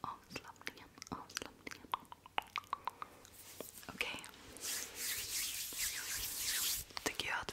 avslappningen, avslappningen. Okay. tycker jag att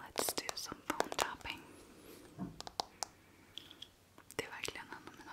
Let's do some phone tapping. Det är verkligen en av mina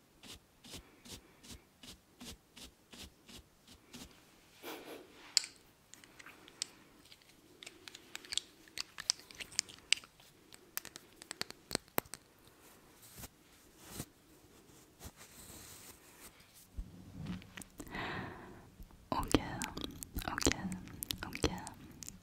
Okej, okej, okej,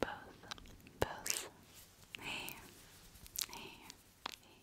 both, both. Hey, hey, hey.